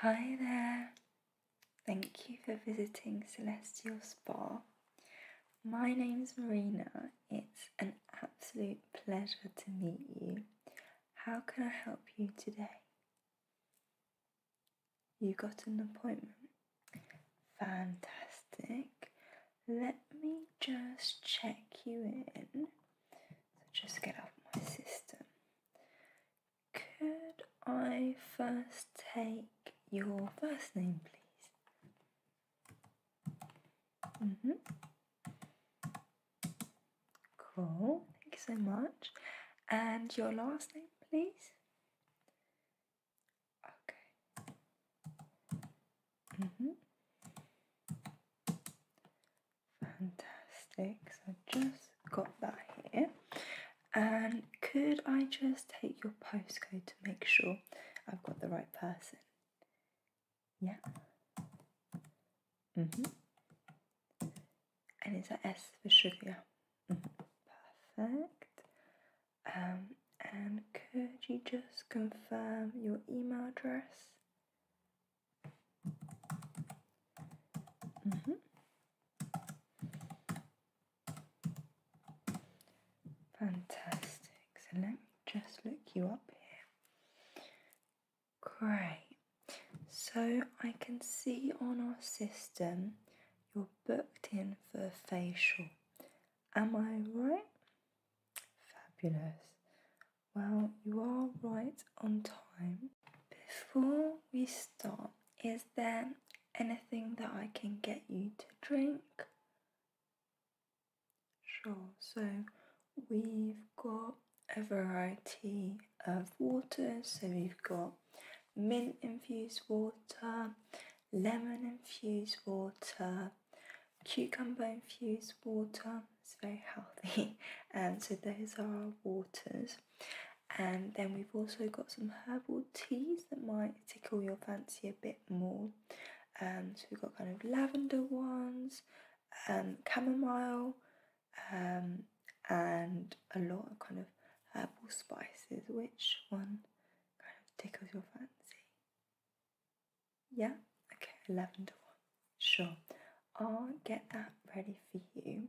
Hi there! Thank you for visiting Celestial Spa. My name's Marina. It's an absolute pleasure to meet you. How can I help you today? You got an appointment? Fantastic. Let me just check you in. So just get off my system. Could I first take your first name, please? Mm -hmm. Cool, thank you so much. And your last name, please? Okay. Mm -hmm. Fantastic. So just got that here. And could I just take your postcode to make sure I've got the right person? Yeah. Mm-hmm. And it's an S for sugar. Mm-hmm. Perfect. Um, and could you just confirm your email address? Mm -hmm. Fantastic. So let me just look you up here. Great. So I can see on our system you're booked in for a facial. Am I right? Fabulous. Well, you are right on time. Before we start, is there anything that I can get you to drink? Sure, so we've got a variety of water. So we've got mint infused water, lemon infused water, cucumber infused water, it's very healthy. and um, so those are our waters. And then we've also got some herbal teas that might tickle your fancy a bit more. Um, so we've got kind of lavender ones, and um, chamomile, um, and a lot of kind of herbal spices. Which one kind of tickles your fancy? Yeah, okay, lavender one. Sure, I'll get that ready for you.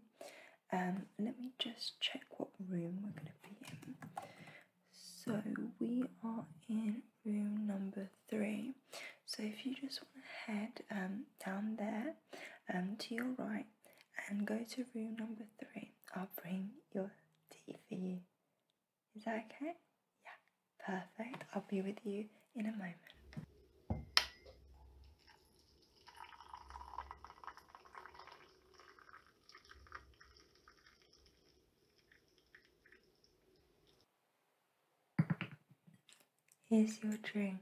Um, let me just check what room we're going to be in. So we are in room number three. So if you just want to head um, down there um, to your right and go to room number three, I'll bring your tea for you. Is that okay? Yeah, perfect. I'll be with you in a moment. Here's your drink.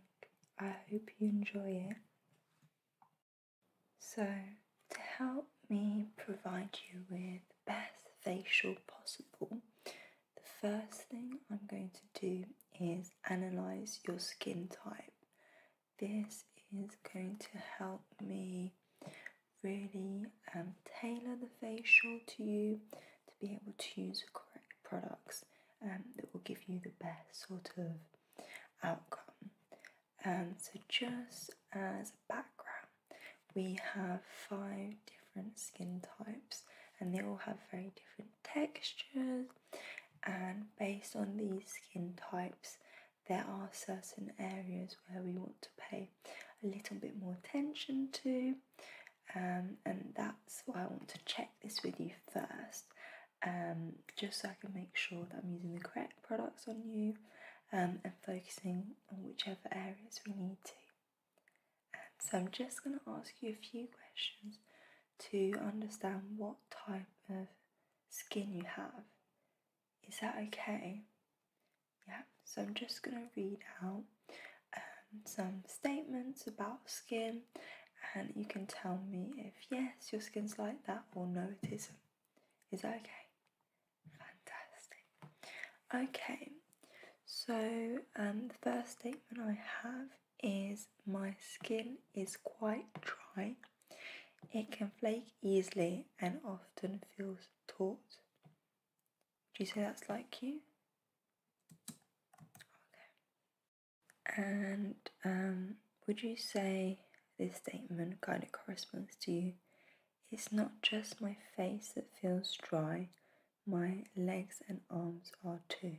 I hope you enjoy it. So, to help me provide you with the best facial possible, the first thing I'm going to do is analyze your skin type. This is going to help me really um, tailor the facial to you to be able to use the correct products um, that will give you the best sort of outcome. Um, so, just as a background, we have five different skin types and they all have very different textures and based on these skin types there are certain areas where we want to pay a little bit more attention to um, and that's why I want to check this with you first um, just so I can make sure that I'm using the correct products on you um, and focusing on whichever areas we need to so I'm just going to ask you a few questions to understand what type of skin you have. Is that okay? Yeah, so I'm just going to read out um, some statements about skin and you can tell me if yes, your skin's like that or no, it isn't. Is that okay? Fantastic. Okay, so um, the first statement I have is my skin is quite dry. It can flake easily and often feels taut. Do you say that's like you? Okay. And um, would you say this statement kind of corresponds to you? It's not just my face that feels dry, my legs and arms are too.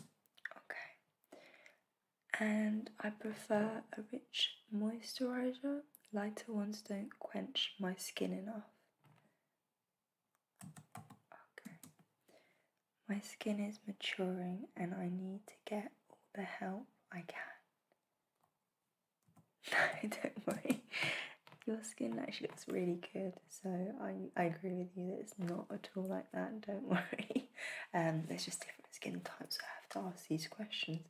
Okay, and I prefer a rich moisturizer, lighter ones don't quench my skin enough. Okay, my skin is maturing and I need to get all the help I can. No, don't worry. Your skin actually looks really good, so I, I agree with you that it's not at all like that. Don't worry. Um, there's just different skin types. I have to ask these questions.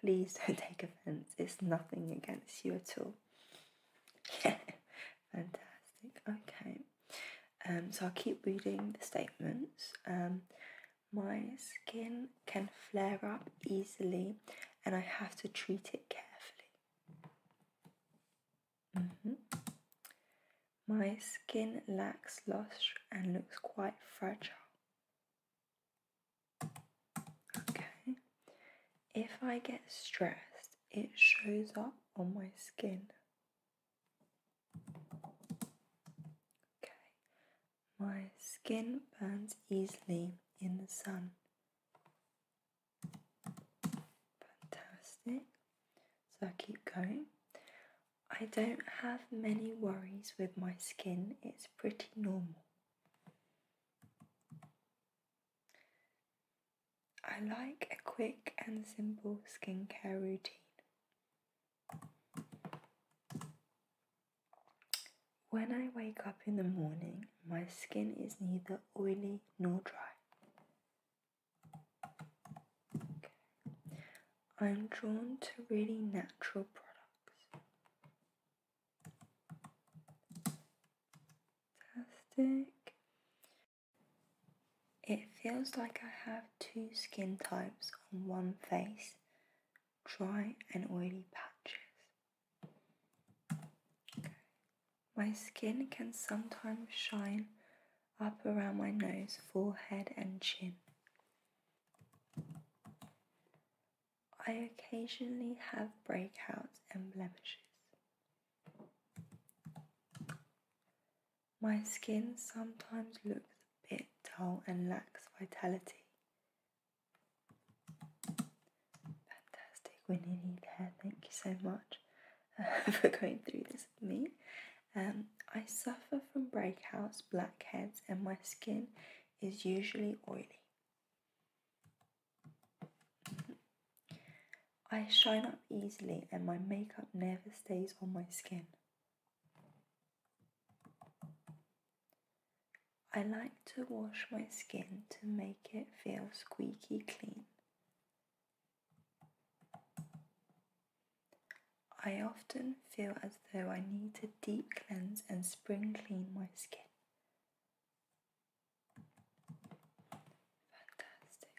Please don't take offence. It's nothing against you at all. fantastic. Okay. Um, so I'll keep reading the statements. Um, my skin can flare up easily, and I have to treat it carefully. Mm-hmm. My skin lacks lush and looks quite fragile. Okay. If I get stressed, it shows up on my skin. Okay. My skin burns easily in the sun. Fantastic. So I keep going. I don't have many worries with my skin, it's pretty normal. I like a quick and simple skincare routine. When I wake up in the morning, my skin is neither oily nor dry. I'm drawn to really natural products. Fantastic. It feels like I have two skin types on one face, dry and oily patches. My skin can sometimes shine up around my nose, forehead, and chin. I occasionally have breakouts and blemishes. My skin sometimes looks a bit dull and lacks vitality, Fantastic, Winnie Leadhead, thank you so much uh, for going through this with me. Um, I suffer from breakouts, blackheads, and my skin is usually oily. I shine up easily and my makeup never stays on my skin. I like to wash my skin to make it feel squeaky clean. I often feel as though I need to deep cleanse and spring clean my skin. Fantastic.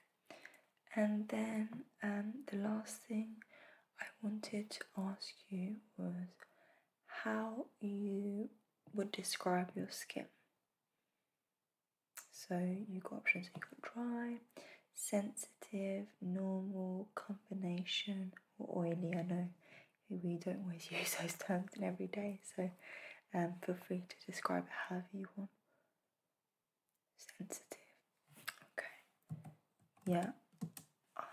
And then um, the last thing I wanted to ask you was how you would describe your skin. So you've got options, you've got dry, sensitive, normal, combination, or oily. I know we don't always use those terms in every day, so um, feel free to describe it however you want. Sensitive. Okay. Yeah,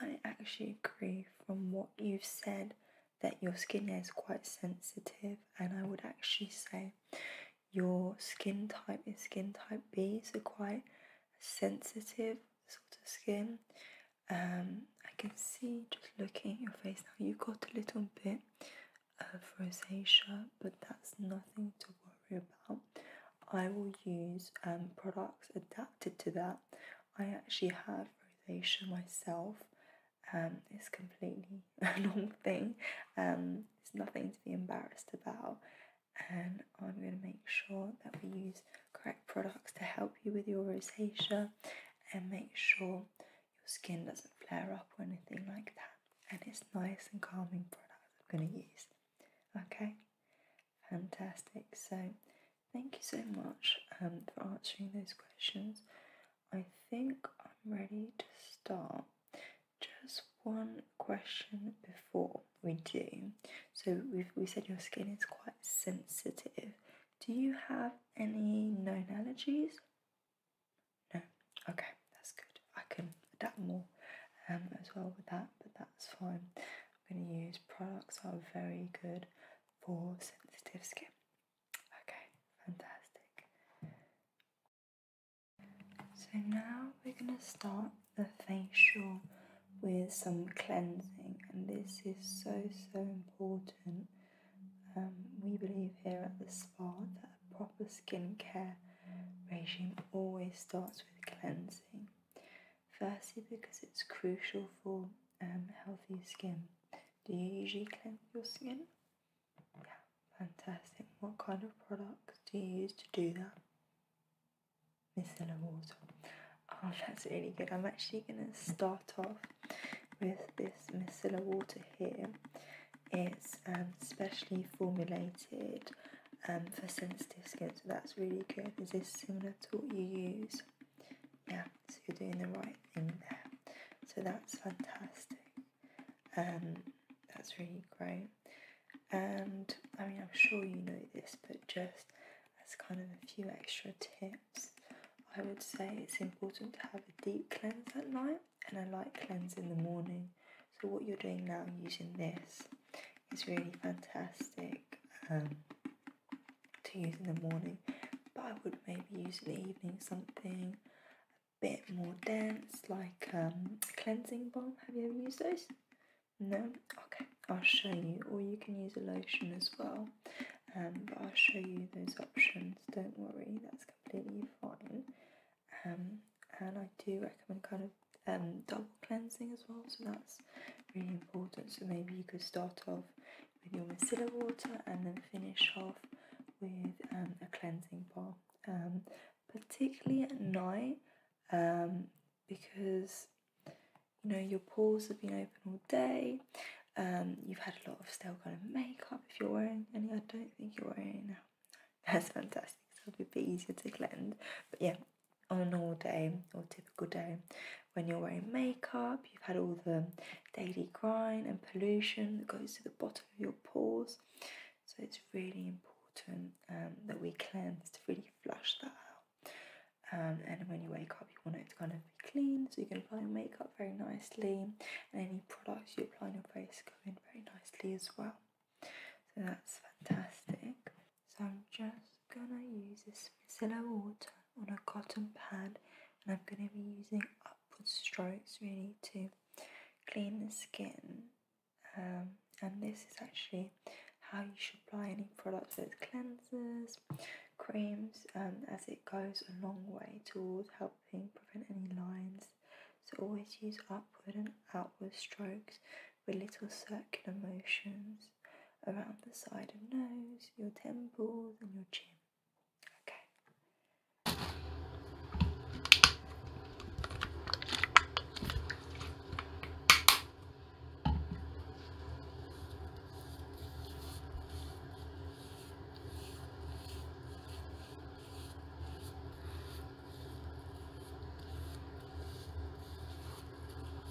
I actually agree from what you've said that your skin is quite sensitive, and I would actually say your skin type is skin type B, so quite sensitive sort of skin. Um, I can see just looking at your face now, you've got a little bit of rosacea, but that's nothing to worry about. I will use um, products adapted to that I actually have rosacea myself. Um, it's completely a normal thing. Um, it's nothing to be embarrassed about. And I'm going to make sure that we use correct products to help you with your rosacea and make sure your skin doesn't flare up or anything like that. And it's nice and calming products I'm going to use. Okay, fantastic. So Thank you so much um, for answering those questions. I think I'm ready to start. Just one question before we do. So we we said your skin is quite sensitive. Do you have any known allergies? No. Okay, that's good. I can adapt more um, as well with that, but that's fine. I'm going to use products that are very good for sensitive skin. Okay, fantastic. So now we're gonna start the facial with some cleansing, and this is so so important. Um, we believe here at the spa that a proper skincare regime always starts with cleansing. Firstly, because it's crucial for um, healthy skin. Do you usually cleanse your skin? Yeah, fantastic. What kind of products do you use to do that? Micellar water. Oh, that's really good. I'm actually going to start off with this micellar water here. It's um, specially formulated um, for sensitive skin, so that's really good. Is this similar to what you use yeah, so you're doing the right thing there. So that's fantastic. Um, that's really great. And I mean, I'm sure you know this, but just as kind of a few extra tips, I would say it's important to have a deep cleanse at night and a light cleanse in the morning. So, what you're doing now using this is really fantastic. Um, to use in the morning, but I would maybe use in the evening something a bit more dense, like a um, cleansing balm. Have you ever used those? No? Okay, I'll show you. Or you can use a lotion as well, um, but I'll show you those options. Don't worry, that's completely fine. Um, and I do recommend kind of double cleansing as well, so that's really important. So maybe you could start off with your micellar water and then finish off with um, a cleansing bar, um, particularly at night um, because you know your pores have been open all day. you've had a lot of stale kind of makeup if you're wearing any. I don't think you're wearing any That's fantastic. So it'll be a bit easier to cleanse. But yeah, on a normal day or typical day, when you're wearing makeup, you've had all the daily grind and pollution that goes to the bottom of your pores. So it's really important um, that we cleanse to really flush that out. Um, and when you wake up, you want it to kind of be clean so you can apply your makeup very nicely, and any products you apply on your face go in very nicely as well. So that's fantastic. So I'm just gonna use this micellar water on a cotton pad and I'm going to be using upward strokes really to clean the skin um, and this is actually how you should apply any products that cleanses, creams um, as it goes a long way towards helping prevent any lines so always use upward and outward strokes with little circular motions around the side of nose, your temples, and your chin. Okay.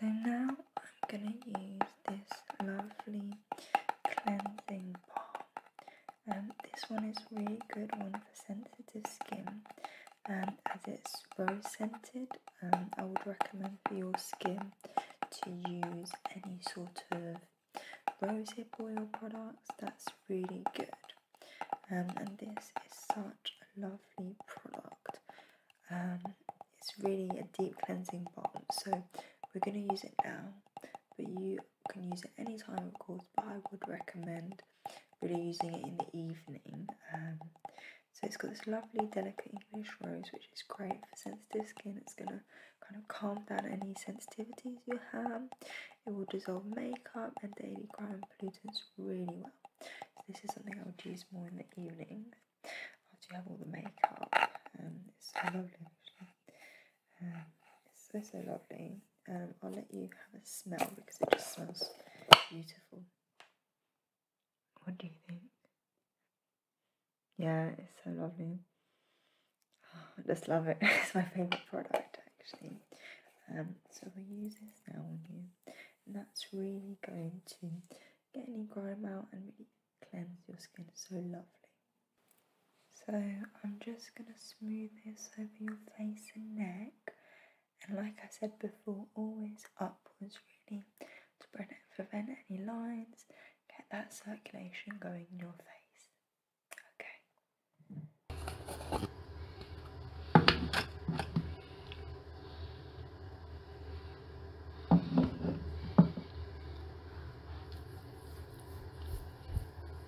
So now I'm gonna use this lovely cleansing balm um, this one is really good one for sensitive skin and um, as it's rose scented. Um, I would recommend for your skin to use any sort of rosehip oil products. That's really good. and this is such a lovely product. Um, it's really a deep cleansing balm. So we're going to use it now, but you you can use it any time, of course, but I would recommend really using it in the evening. Um, so it's got this lovely, delicate English rose, which is great for sensitive skin. It's gonna kind of calm down any sensitivities you have. It will dissolve makeup and daily grime pollutants really well. So this is something I would use more in the evening after you have all the makeup. and um, it's so lovely, it's so, so lovely. I'll let you have a smell because it just smells beautiful. What do you think? Yeah, it's so lovely. I just love it. it's my favourite product actually. Um, so we use this now on you. And that's really going to get any grime out and really cleanse your skin so lovely. So I'm just going to smooth this over your face and neck. And like I said before, always upwards really to prevent any lines, get that circulation going in your face.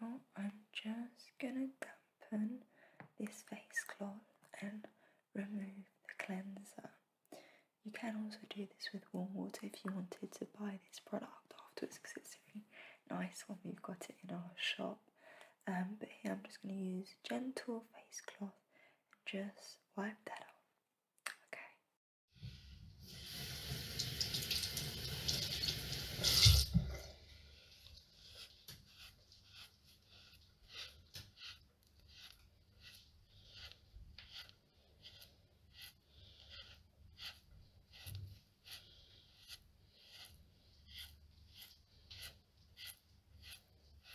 Now I'm just gonna dampen this face cloth and remove the cleanser. You can also do this with warm water if you wanted to buy this product afterwards because it's really nice when we've got it in our shop. Um, but here I'm just going to use gentle face cloth just wipe that off. Okay.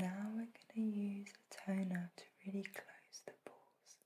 Now we're going to use a toner to really close the pores.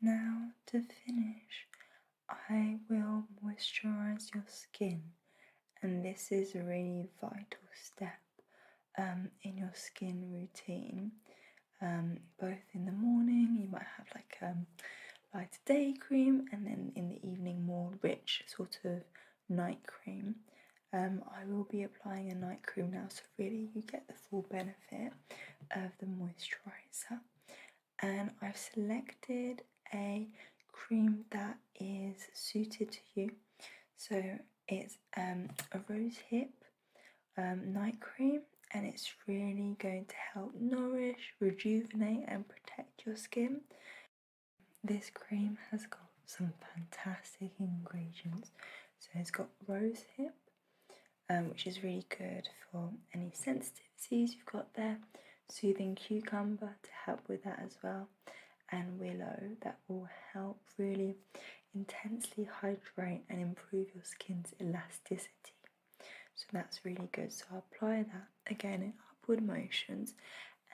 Now, to finish, I will moisturize your skin, and this is a really vital step um, in your skin routine. Um, both in the morning, you might have like a um, light day cream, and then in the evening, more rich sort of night cream. I will be applying a night cream now, so really you get the full benefit of the moisturizer. And I've selected a cream that is suited to you. So it's um, a rose hip um, night cream and it's really going to help nourish, rejuvenate and protect your skin. This cream has got some fantastic ingredients. So it's got rose hip, um, which is really good for any sensitivities you've got there. Soothing cucumber to help with that as well. And willow that will help really intensely hydrate and improve your skin's elasticity. So that's really good. So i apply that again in upward motions,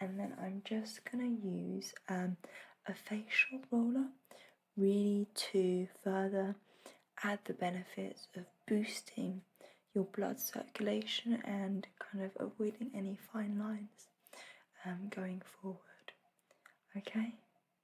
and then I'm just gonna use um, a facial roller really to further add the benefits of boosting your blood circulation and kind of avoiding any fine lines um, going forward. Okay.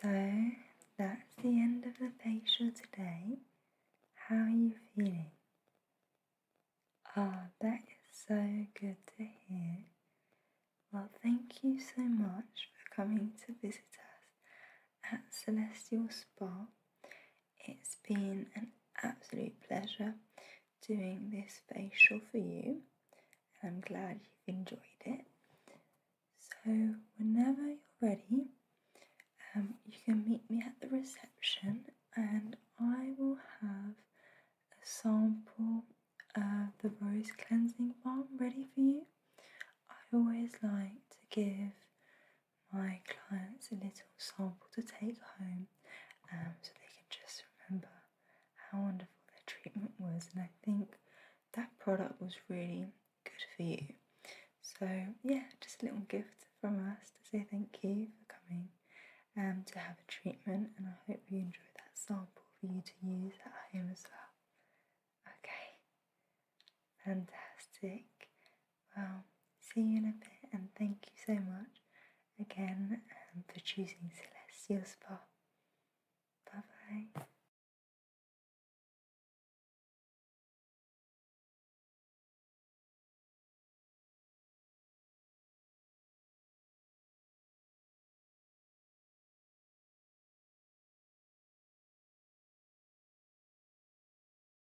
So that's the end of the facial today. How are you feeling? Ah, that is so good to hear. Well, thank you so much for coming to visit us at Celestial Spa. It's been an absolute pleasure doing this facial for you, and I'm glad you've enjoyed it. So, whenever you're ready, um, you can meet me at the reception, and I will have a sample of the rose cleansing balm ready for you. I always like to give my clients a little sample to take home um, so they can just remember how wonderful their treatment was. And I think that product was really good for you. So, yeah, just a little gift from us to say thank you for coming um, to have a treatment. And I hope you enjoy that sample for you to use at home as well. Okay, fantastic. Well, see you in a bit, and thank you so much again um, for choosing Celestial Spa. Bye bye.